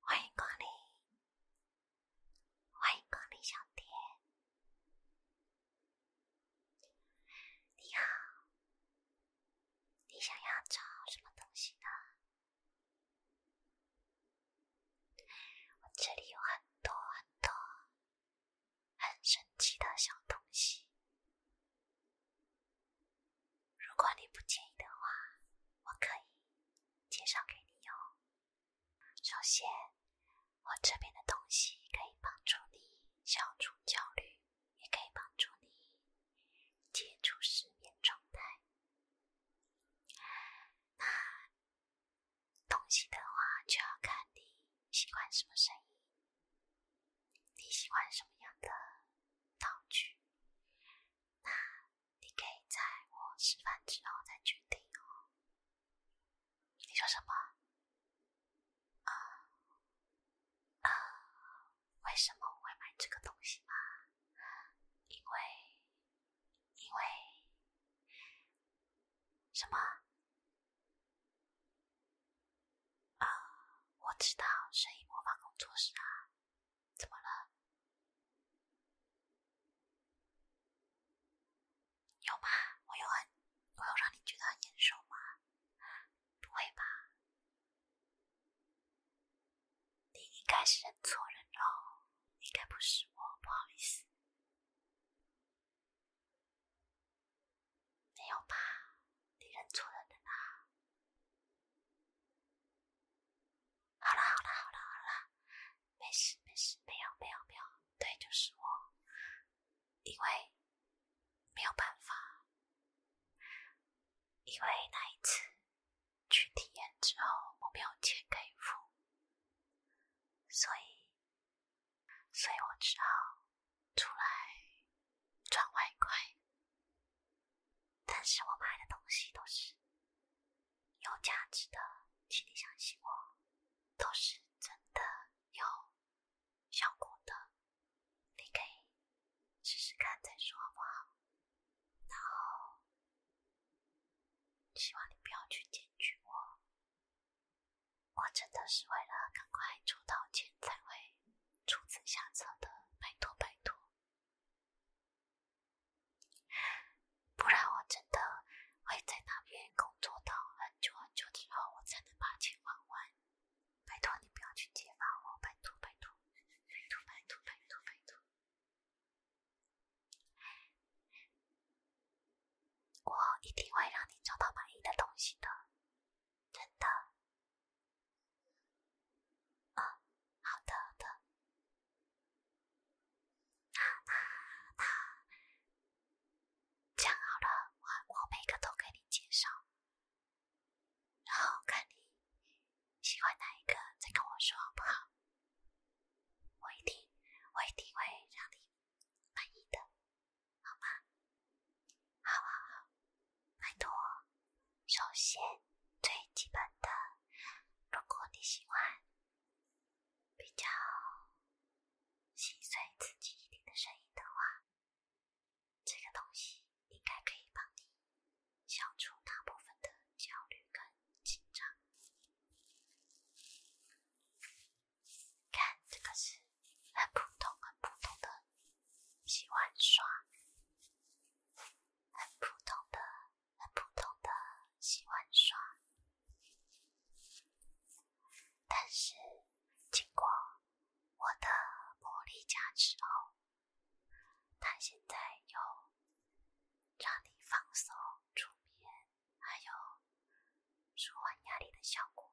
欢迎光临，欢迎光临，小店。你好，你想要找什么东西呢？我这里有很多很多很神奇的小东西。如果你不介意的话，我可以介绍给你哦。首先，我这边的东西可以帮助你消除焦虑，也可以帮助你解除失眠状态。那东西的话，就要看你喜欢什么声音。你喜欢什么样的道具？那你可以在我示范之后再决定哦。你说什么？啊啊？为什么我会买这个东西吗？因为因为什么？啊，我知道声音魔法工作室啊，怎么了？有吗？我有很，我有让你觉得很眼熟吗？不会吧？你应该是认错人喽，应该不是我，不好意思。没有吧？你认错人了啦！好了好了好了好了，没事没事没有没有没有，对，就是我，因为没有办法，因为那一次去体验之后我没有钱可以付，所以，所以我只好。出来赚外快，但是我买的东西都是有价值的，请你相信我，都是真的有效果的，你可以试试看再说好不好？然后希望你不要去检举我，我真的是为了赶快抽到钱才会。出此下策的，拜托拜托，不然我真的会在那边工作到很久很久之后，我才能把钱还完。拜托你不要去揭发我，拜托拜托，拜托拜托拜托拜托，我一定会让你找到满意的东西的。真的啊，好的好的，那那那，这样好了，我我每个都给你介绍，然后看你喜欢哪一个，再跟我说好不好？我一定我一定会让你满意的。好吗？好好好，拜托。首先，最基本的，如果你喜欢比较心碎、刺激一点的声音的话，这个东西应该可以帮你消除大部分的焦虑跟紧张。看，这个是。很普通、很普通的洗碗刷，很普通的、很普通的洗碗刷。但是经过我的魔力加持后，它现在有让你放松、助眠还有舒缓压力的效果。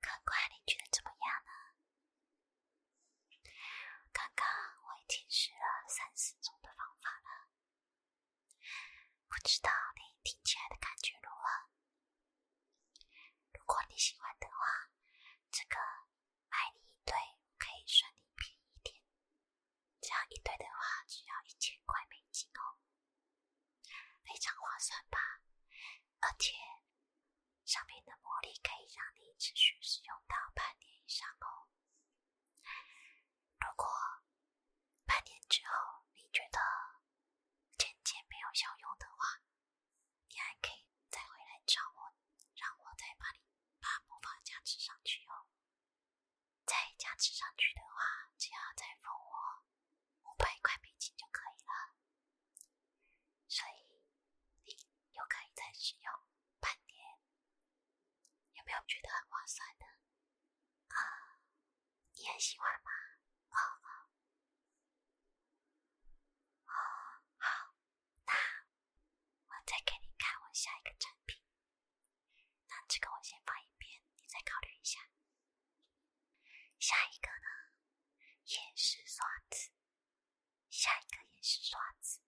看官，你觉得怎么样呢？刚刚我已经试了三四种的方法了，不知道你听起来的感觉如何？如果你喜欢的话，这个爱你一对可以算你便宜一点。这样一对的话，只要一千块美金哦，非常划算吧？而且，上面的魔力可以让你持续使用到半年以上哦。如果半年之后你觉得渐渐没有效用的话，你还可以再回来找我，让我再把你把魔法加持上去哦。再加持上去的话，只要再付我五百块美金就可以了，所以你又可以再使用半年。有没有觉得很划算的啊？你很喜欢吗？哦哦哦，好，那我再给你看我下一个产品。那这个我先放一边，你再考虑一下。下一个呢，也是刷子。下一个也是刷子，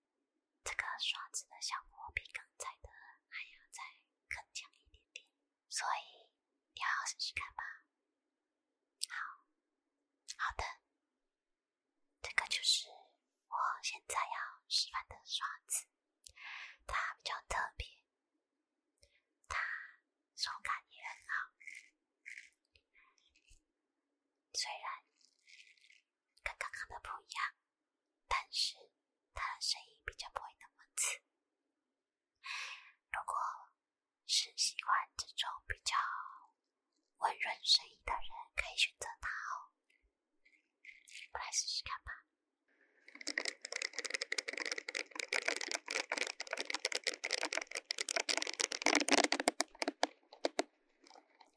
这个刷子的效果比刚才的还要再更强一点点，所以你好好试试看吧。好，好的，这个就是我现在要示范的刷子，它比较特别，它手感也很好，虽然。跟刚刚的不一样，但是它的声音比较不会那么刺。如果是喜欢这种比较温润声音的人，可以选择它哦。我来试试看吧。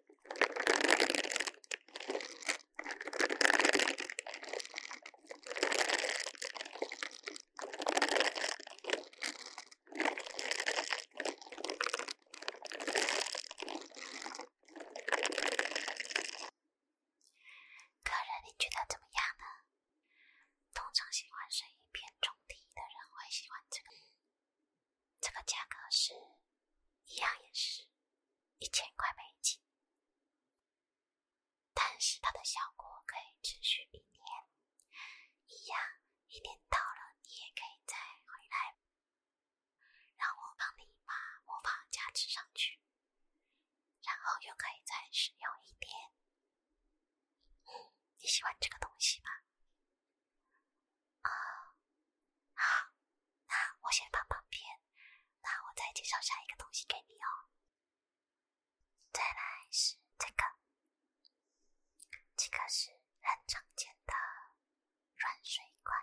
客人，你觉得怎么样呢？通常喜欢声音偏中低的人会喜欢这个。这个价格是一样，也是一千块美金。但是它的效果可以持续一年，一样，一年到了你也可以再回来，让我帮你把魔法加持上去，然后又可以再使用一年。你喜欢这个东西吗？啊，好。那我先放旁边，那我再介绍下一个东西给你哦。再来是这个，这个是很常见的软水管，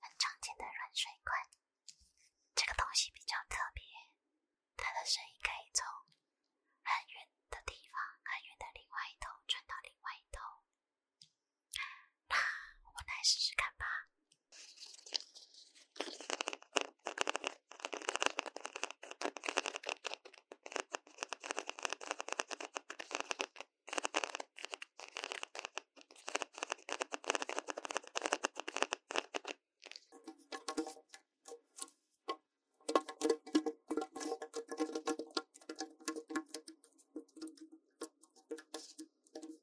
很常见的软水管。这个东西比较特别，它的声音可以从很远的地方，很远的另外一头传到另外一头。那我来试试看吧。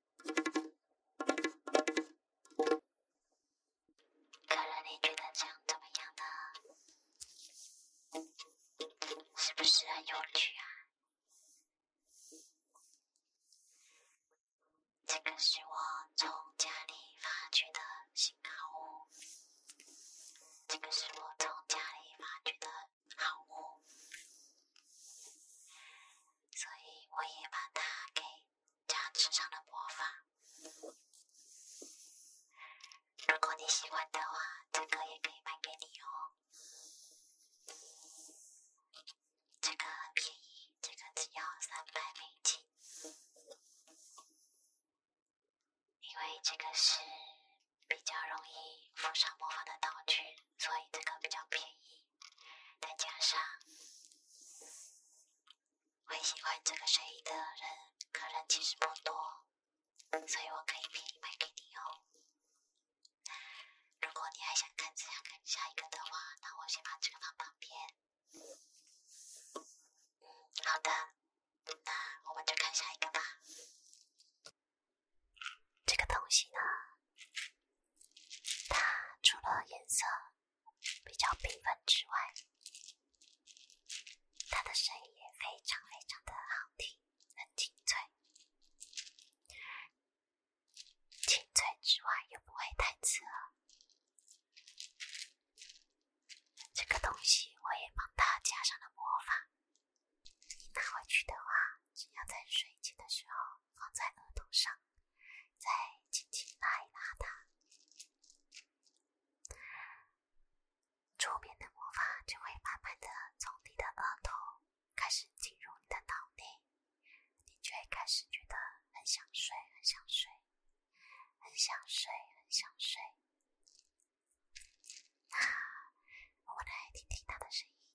客人，你觉得这样怎么样呢？是不是很有趣啊？这个是我从家里发去的新宝这个是我从家里发掘的。好物，所以我也把它给加持上了魔法。如果你喜欢的话，这个也可以卖给你哦。这个便宜，这个只要三百美金。因为这个是比较容易附上魔法的道具，所以这个比较便宜。再加上，会喜欢这个睡衣的人，可能其实不多，所以我可以便宜卖给你哦。如果你还想看这样看下一个的话，那我先把这个放旁边。嗯，好的，那我们就看下一个吧。这个东西呢，它除了颜色比较缤纷之外，它的声音也非常非常的好听，很清脆。清脆之外又不会太刺耳。这个东西我也帮它加上了魔法，你拿回去的话，只要在睡觉的时候。放在额头上，再轻轻拉一拉它，桌边的魔法就会慢慢的从你的额头开始进入你的脑内，你就会开始觉得很想睡，很想睡，很想睡，很想睡。啊，我来听听他的声音。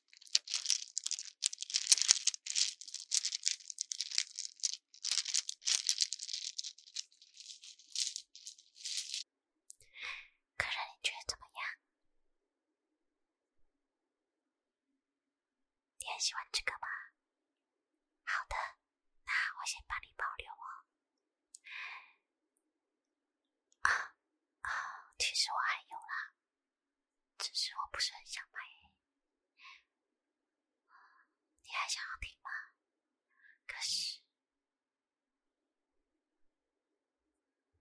客人，你觉得怎么样？你很喜欢这个吗？好的，那我先帮你保留哦。啊啊，其实我还有啦。只是我不是很想买，你还想要听吗？可是，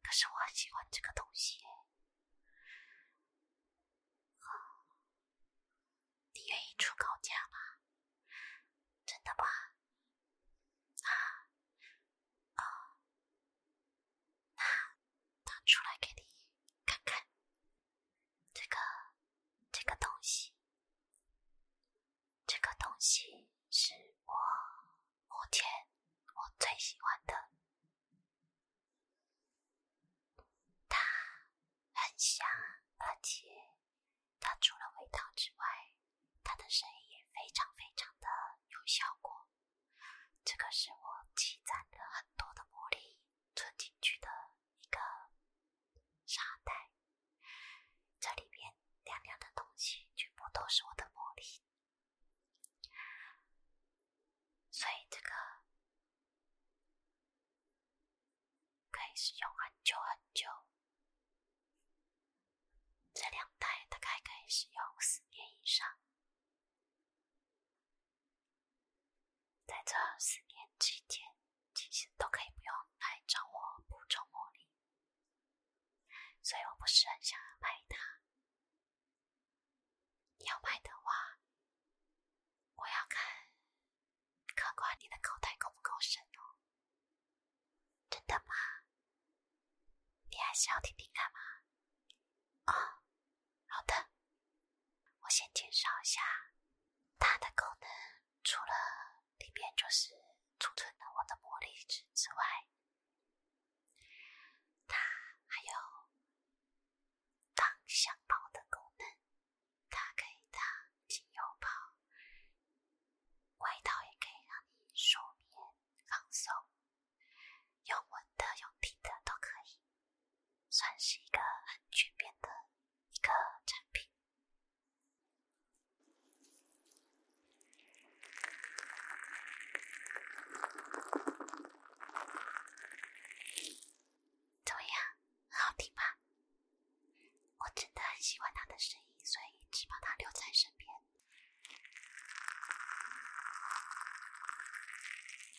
可是我很喜欢这个东西你愿意出高价吗？真的吗？啊，啊。那拿出来给你看看，这个这个东西，这个东西是我目前我最喜欢的。它很香，而且它除了味道之外，它的声音也非常非常的有效果。这个是我积攒了很多的魔力。存进去的一个沙袋，这里面亮亮的东西全部都是我的魔力，所以这个可以使用很久很久。这两袋大概可以使用四年以上。在这四年期间，其实都可以不用来找我补充魔力，所以我不是很想要卖它。要卖的话，我要看客官你的口袋够不够深哦？真的吗？你还是要听听看吗？啊？好的，我先介绍一下它的功能。除了里面就是储存了我的魔力值之外，它还有当香包的功能，它可以当精油包，外套也可以让你睡眠放松。用闻的、用听的都可以，算是一个很全面的一个产品。怎么样，很好听吧？我真的很喜欢他的声音，所以一直把他留在身边。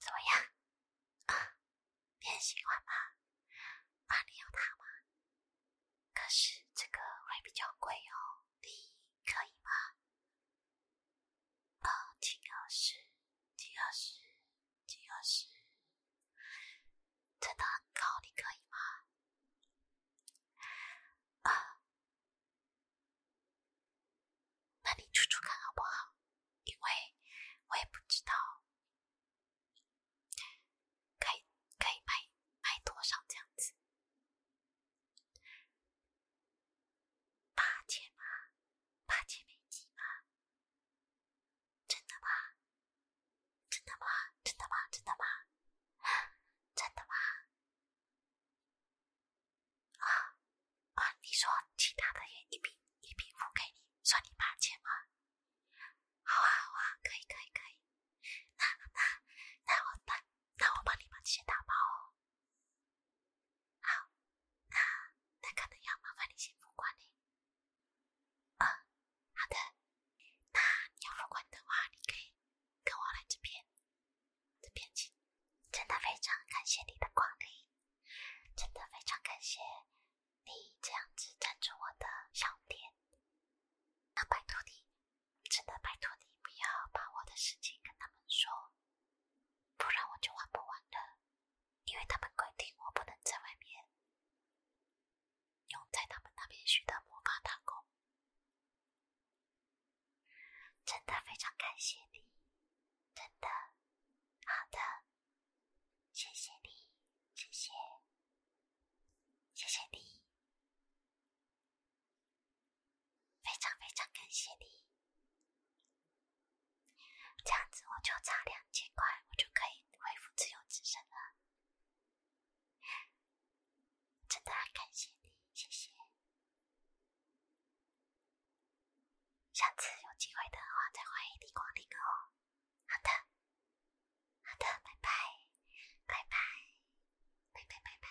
怎么样？啊，喜欢吗？啊，你要它吗？可是这个会比较贵哦。你可以吗？二进二十，进二十，进二十，真的很高。你可以吗？啊，那你出出看好不好？因为我也不知道，可以可以卖卖多少这样子。八千吗？八千美金吗？真的吗？真的吗？真的吗？真的吗？真的吗？啊啊！你说其他的也一并一并付给你，算你八千吗？好啊好啊，可以可以可以。那那那我办。那我帮你把这些打包哦。好，那那可能要麻烦你先付款了。嗯，好的。那你要付款的话，你可以跟我来这边，这边请。真的非常感谢你的光临，真的非常感谢你这样子赞助我的小店。那拜托你，真的拜托你，不要把我的事情跟他们说。不然我就玩不完了，因为他们规定我不能在外面。用在他们那边学的魔法打工，真的非常感谢你，真的，好的，谢谢你，谢谢，谢谢你。非常非常感谢你，这样子我就差两千块，我就可以恢复自由之身了。真的很感谢你，谢谢。下次有机会的话，再欢迎你光临哦。好的，好的，拜拜，拜拜，拜拜拜拜。